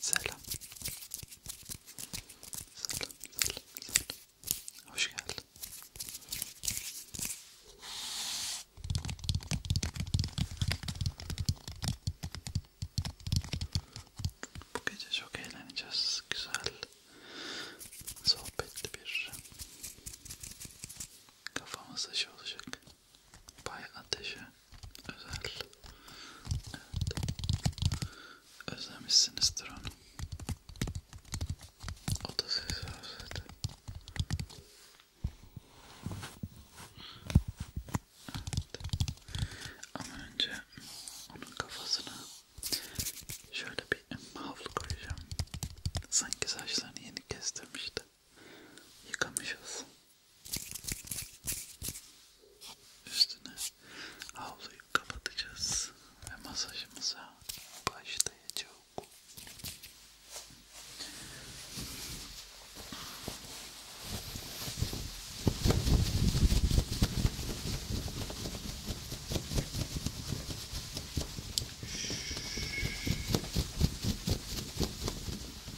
Selam. Selam, selam, selam. Hoş geldin. Bu gece çok eğleneceğiz. Güzel, sohbetli bir kafamız dışı olacak. Bay Ateş'e özel. Evet. Özlemişsinizdir onu. O da sizi özledi. Evet. Ama önce onun kafasına şöyle bir havlu koyacağım. Sanki saçlarını yeni kestirmişti yıkamışız. Üstüne havluyu kapatacağız ve masajımıza başlayacağız.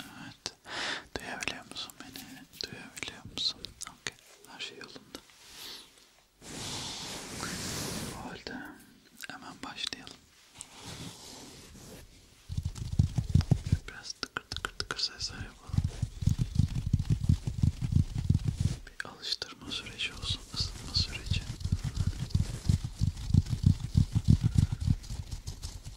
Evet. Duyabiliyor musun beni? Duyabiliyor musun? Okay. Her şey yolunda. Bu halde hemen başlayalım. Biraz tıkır tıkır tıkır sesler yapalım. Bir alıştırma süreci olsun, ısınma süreci.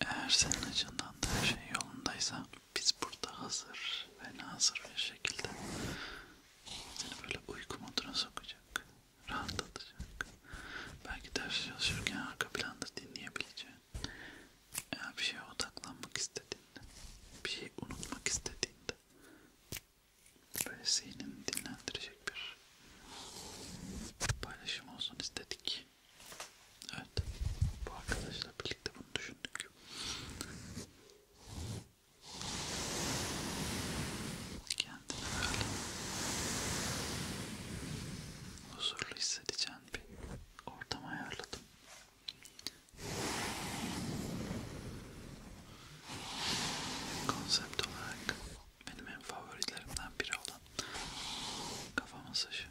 Eğer senin açından da her şey yolundaysa biz burada hazır ve nazır bir şekilde seni böyle uyku moduna sokacak, rahatlatacak. Belki ders çalışırken arka planda dinleyebileceğin, eğer bir şeye odaklanmak istediğinde, bir şeyi unutmak istediğinde böyle zihnini dinlendirecek bir paylaşım olsun istedik. Evet, bu arkadaşla birlikte bunu düşündük. Kendini böyle huzurlu hissedeceğin bir ortam ayarladım. Konsept olarak benim en favorilerimden biri olan kafa masajı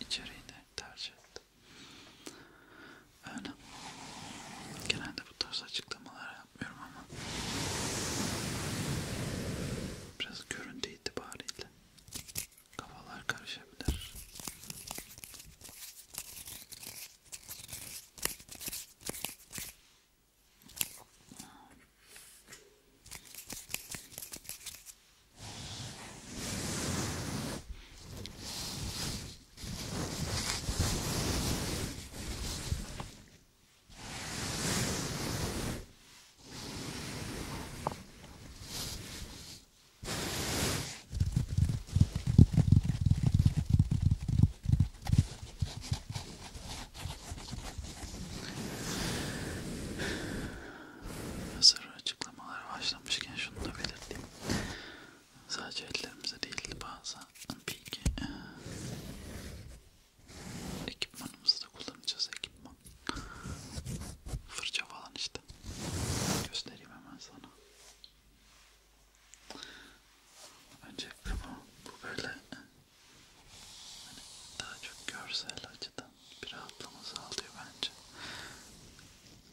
içeriğini tercih ettim. Öyle. Genelde bu tarz açıklamalar yapmıyorum ama biraz görüntü itibariyle kafalar karışabilir. Hazır açıklamalar başlamışken şunu da belirteyim. Sadece ellerimize değil bazen bilgi e, ekipmanımızı da kullanacağız ekipman. Fırça falan işte. Göstereyim hemen sana. Önce bu, bu böyle e, hani daha çok görsel açıdan bir rahatlama sağlıyor bence.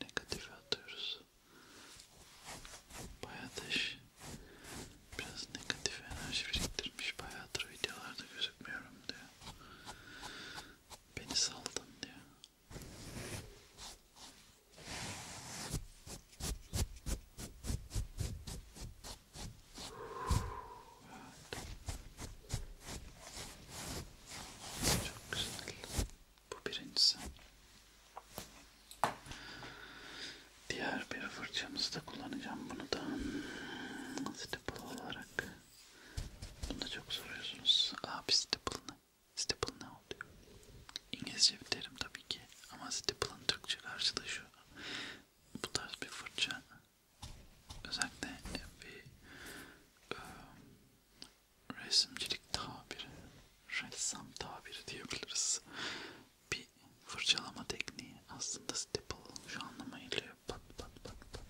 Negatifi atıyoruz. Bayağıdır biraz negatif enerji biriktirmiş. Bayağıdır videolarda gözükmüyorum diyor. Beni saldın diyor. Evet. Çok güzel. Bu birincisi. Diğer bir fırçamızı da kullanacağım bunu da. Stipple olarak. Bunu da çok soruyorsunuz. Abi stipple ne? Stipple ne oluyor? İngilizce bir terim tabii ki. Ama stipple'ın Türkçe karşılığı şu. Bu tarz bir fırça özellikle bir e, resimcilik tabiri, ressam tabiri diyebiliriz. Bir fırçalama tekniği aslında staple şu anlamayla pat pat pat pat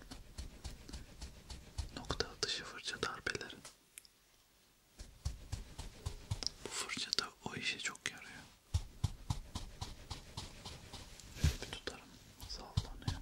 nokta atışı fırça darbeleri. Bu fırça da o işe çok yarıyor. Şöyle bir tutarım sallanıyor.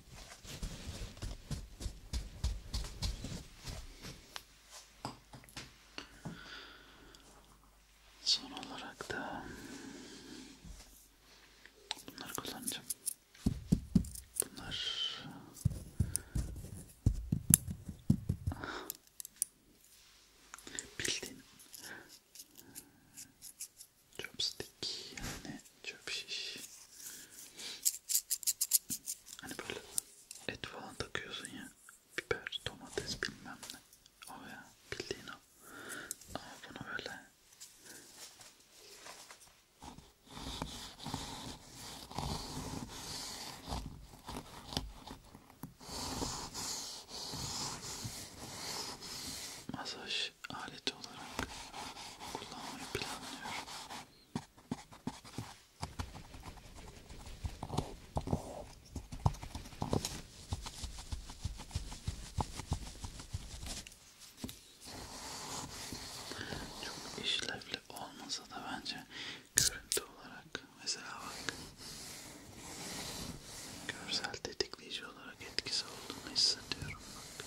Son olarak da bunları kullanacağım. Bunlar bildiğin chopstick yani Çöp şiş. Hani böyle et falan takıyorsun ya. Biber, domates bilmem ne. O ya bildiğin o. Ama bunu böyle. Masaj aleti olarak kullanmayı planlıyorum. Çok işlevli olmasa da bence görüntü olarak mesela bak görsel tetikleyici olarak etkisi olduğunu hissediyorum bak.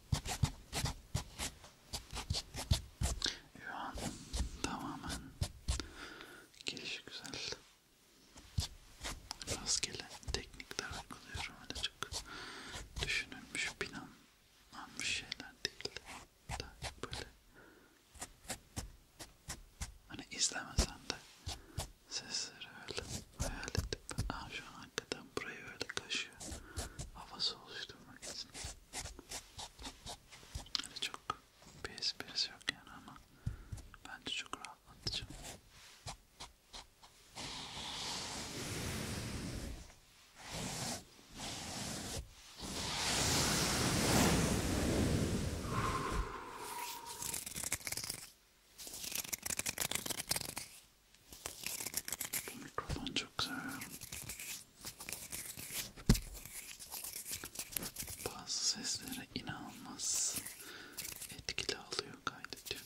Şu an tamamen gelişi güzel. Rastgele teknikler uyguluyorum. Öyle çok düşünülmüş, planlanmış şeyler değil. Daha böyle hani izlemesen de sesleri öyle hayal edip aa şu an hakikaten burayı öyle kaşıyor. Havası oluşturmak için. Öyle hani çok bir esprisi yok yani ama bence çok rahatlatıcı. Bu mikrofon çok seviyorum. Bazı seslere inanılmaz etkili alıyor kaydediyor.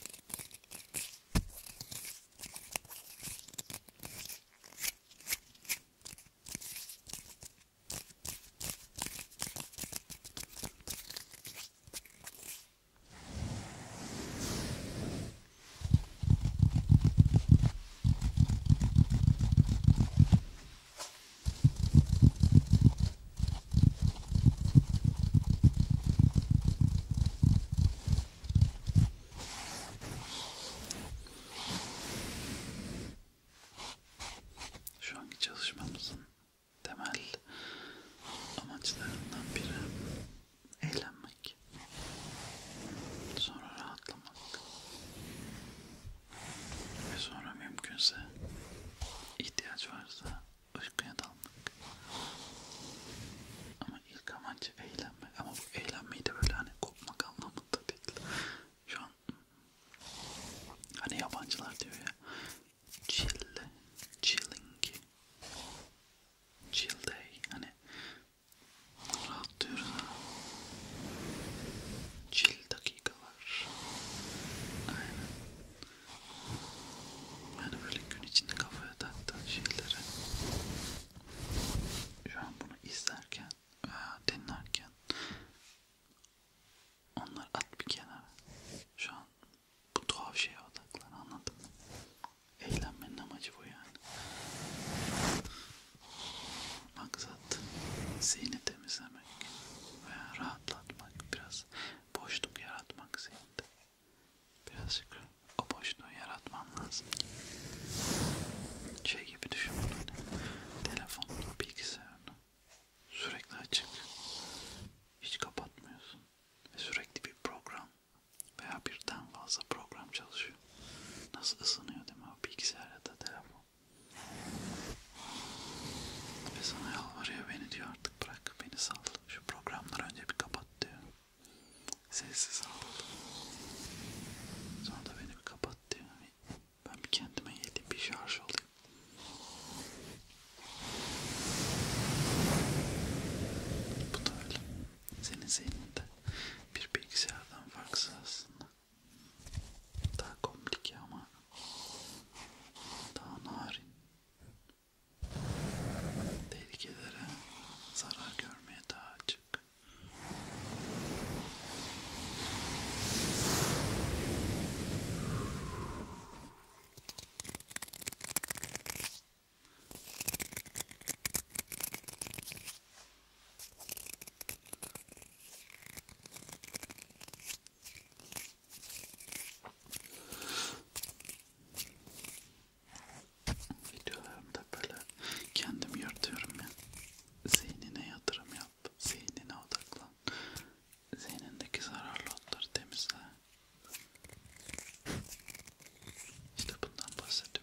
Şu anki çalışmamızın temel amaçlarından biri eğlenmek, sonra rahatlamak ve sonra mümkünse ihtiyaç varsa uykuya dalmak. Ama ilk amacı eğlenme. Ama bu eğlenmeyi de böyle hani kopmak anlamında değil. Şu an hani yabancılar diyor ya chille, chilling chill day hani rahatlıyoruz ha. Chill dakikalar. Aynen. Yani böyle gün içinde kafaya taktığın şeyleri şu an bunu izlerken veya dinlerken onları at bir kenara. Şu an bu tuhaf şeye odaklan anladın mı? Eğlenmenin amacı bu yani. Maksat zihni temizlemek veya rahatlatmak, biraz boşluk yaratmak zihinde. Birazcık o boşluğu yaratmam lazım. Şey gibi düşün bunu. Hani, Telefonunu, bilgisayarını sürekli açık. Hiç kapatmıyorsun. Ve sürekli bir program veya birden fazla program çalışıyor. Nasıl ısınıyor değil mi o bilgisayar ya da telefon? Ve sana yalvarıyor beni diyor artık bırak beni sal. Şu programları önce bir kapat diyor. Sessiz al. Sonra da beni bir kapat diyor. Ben bir kendime yediğim bir şarj olayım. Bu da öyle senin zihninde bir bilgisayardan farksız aslında. Daha komplike ama daha narin. Tehlikelere zarar görmeye daha açık. Videolarımda böyle kendim yırtıyorum ya. Zihnine yatırım yap, zihnine odaklan. Zihnindeki zararlı otları temizle. İşte bundan bahsediyorum.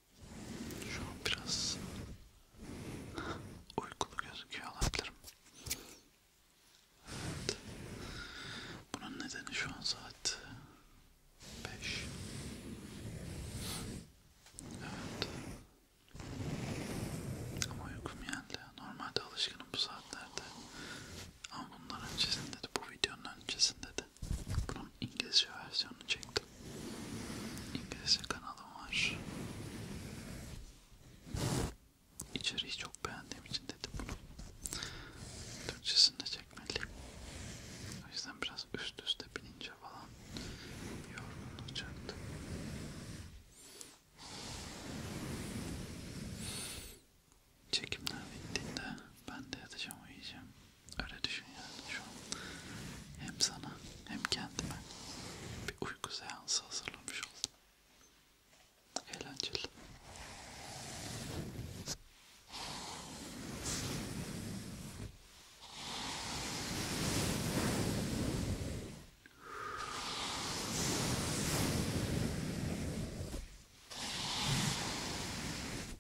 Şu an biraz uykulu gözüküyor olabilirim. Evet. Bunun nedeni şu an saat 5. Evet. Ama uykum geldi. Normalde alışkınım bu saatlerde. Ama bundan öncesinde de bu videonun öncesinde de bunun İngilizce versiyonunu çektim. İngilizce kanalım var. İçeriği çok beğendiğim için dedim bunu. Türkçesini de çekmeliyim. O yüzden biraz üst üste binince falan yorgun olacaktı. Çekimler bittiğinde ben de yatacağım uyuyacağım. Öyle düşün yani şu an. Hem sana hem kendime bir uyku seansı hazırlamış oldum. Eğlenceli.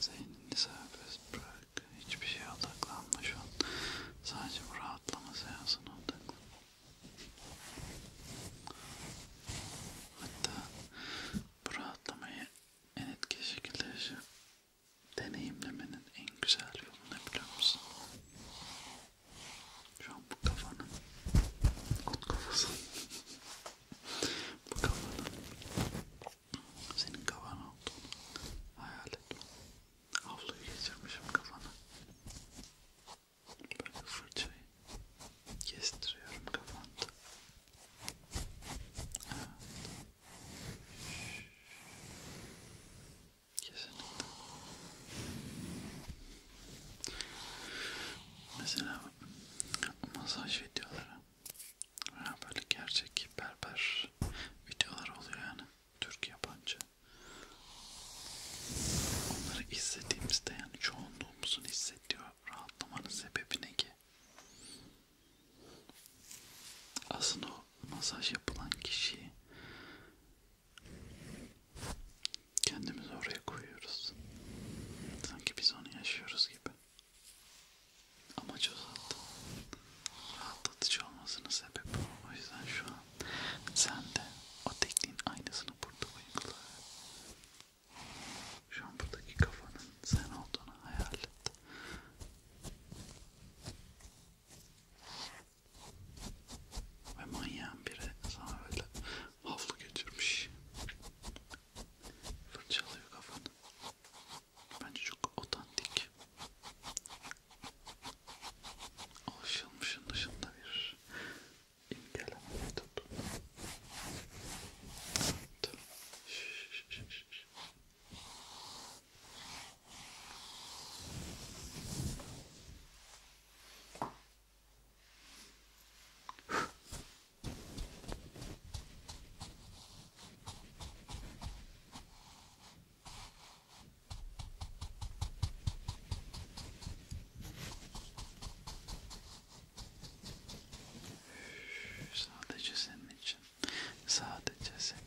Zeynini serbest bırak. Hiçbir şeye odaklanma şu an. Sadece bu rahatlama seansına odaklan. Hatta bu rahatlamayı en etki şekilde yaşa. Deneyimlemenin en güzel yolu ne biliyor musun? Şu an bu kafanın, kut kafası, bu kafanın senin kafan olduğunu hayal etme. Havluyu geçirmişim kafana. Böyle fırçayı kestiriyorum kafanda. Evet. Kesinlikle. Mesela masaj videoları Ha, böyle gerçek berber videolar oluyor yani. Türk yabancı. Onları izlediğimizde yani çoğunluğumuzun hissettiği rahatlamanın sebebi ne ki? Aslında o masaj yapılan kişiyi kendimizi oraya koyuyoruz. Sanki biz onu yaşıyoruz gibi. Ama çok rahatlatıcı olmasının sebebi o. O yüzden şu an sen de o tekniğin aynısını burada uygula. Şu an buradaki kafanın sen olduğunu hayal et. Ve manyağın biri sana böyle havlu götürmüş. Fırçalıyor kafanı. Bence çok otantik. Alışılmışın dışında bir imgeleme metodu. Evet. Sadece senin için. Sadece senin.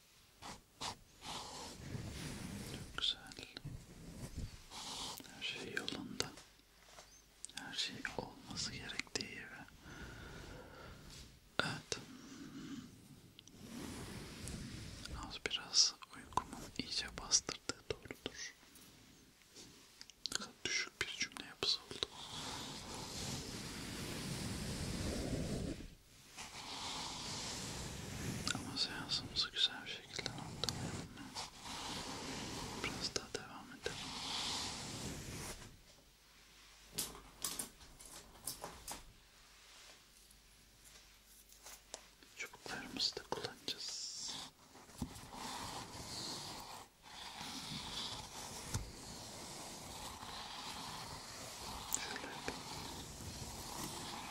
Çok güzel. Her şey yolunda. Her şey olması gerektiği gibi. Evet. Az biraz uykumun iyice bastırdığı doğrudur. Ne kadar düşük bir cümle yapısı oldu. Ama seansımızı güzel bir şekilde noktalayalım ya. Biraz daha devam edelim. Çubuklarımızı da kullanacağız. Şöyle yapayım.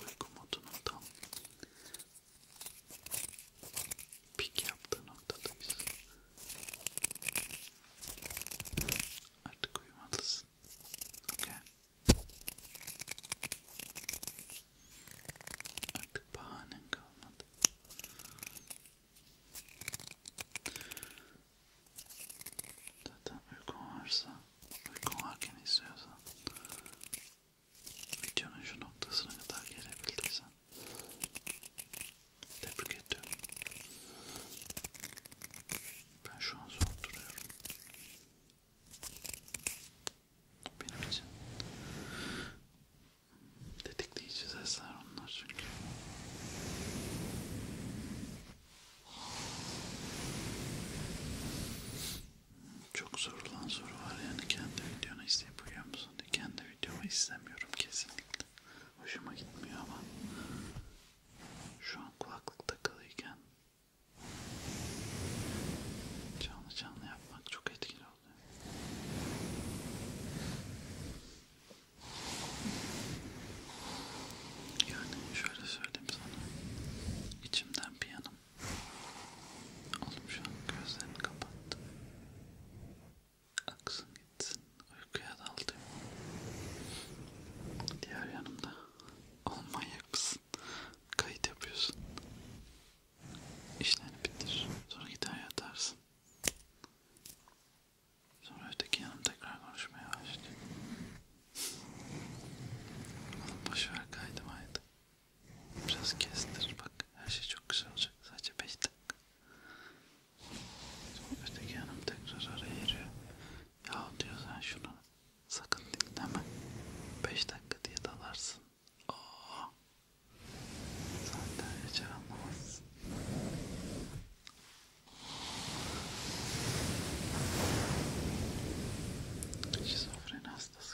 uyku modunun tam pik yaptığı noktadayız. Artık uyumalısın. Okay. Artık bahanen kalmadı. Zaten uykun varsa, uykun varken izliyorsan videonun şu noktasına kadar gelebildiysen tebrik ediyorum. Ben şu an zor duruyorum. Benim için tetikleyici sesler onlar çünkü. Çok sorulan soru var yani kendi videonu izleyip uyuyor musun diye. Kendi videomu izlemiyorum kesinlikle. Hoşuma gitmiyor ama şu an kulaklık takılıyken canlı canlı yapmak çok etkili oldu. Yani şöyle söyleyeyim sana, içimden bir yanım Oğlum şu an gözlerini kapattı. Aksın gitsin. Uykuya daldım. Diğer yanımda. Oğlum manyak mısın? Kayıt yapıyorsun. İşlerini bitir. Sonra gider yatarsın. Sonra öteki yanım tekrar konuşmaya başlıyor. Oğlum boşver kaydı maydı. Biraz kestir bak her şey çok güzel olacak sadece 5 dakika. Öteki hanım tekrar araya giriyor. Ya diyor sen şunu sakın dinleme. 5 dakika diye dalarsın. Oo. Zaten hiç anlamazsın. Şizofreni hastası.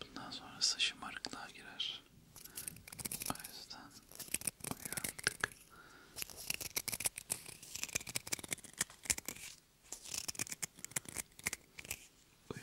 Bundan sonrası şımarıklığa girer. O yüzden uyardık. Uyu.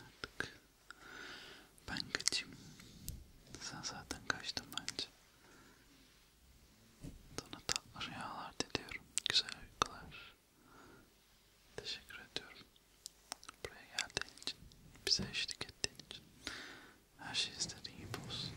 Artık ben kaçayım. Sen zaten kaçtın bence. Sana tatlı rüyalar diliyorum. Güzel uykular. Teşekkür ediyorum. Buraya geldiğin için, bize eşlik ettiğin için. Her şey istediğin gibi olsun.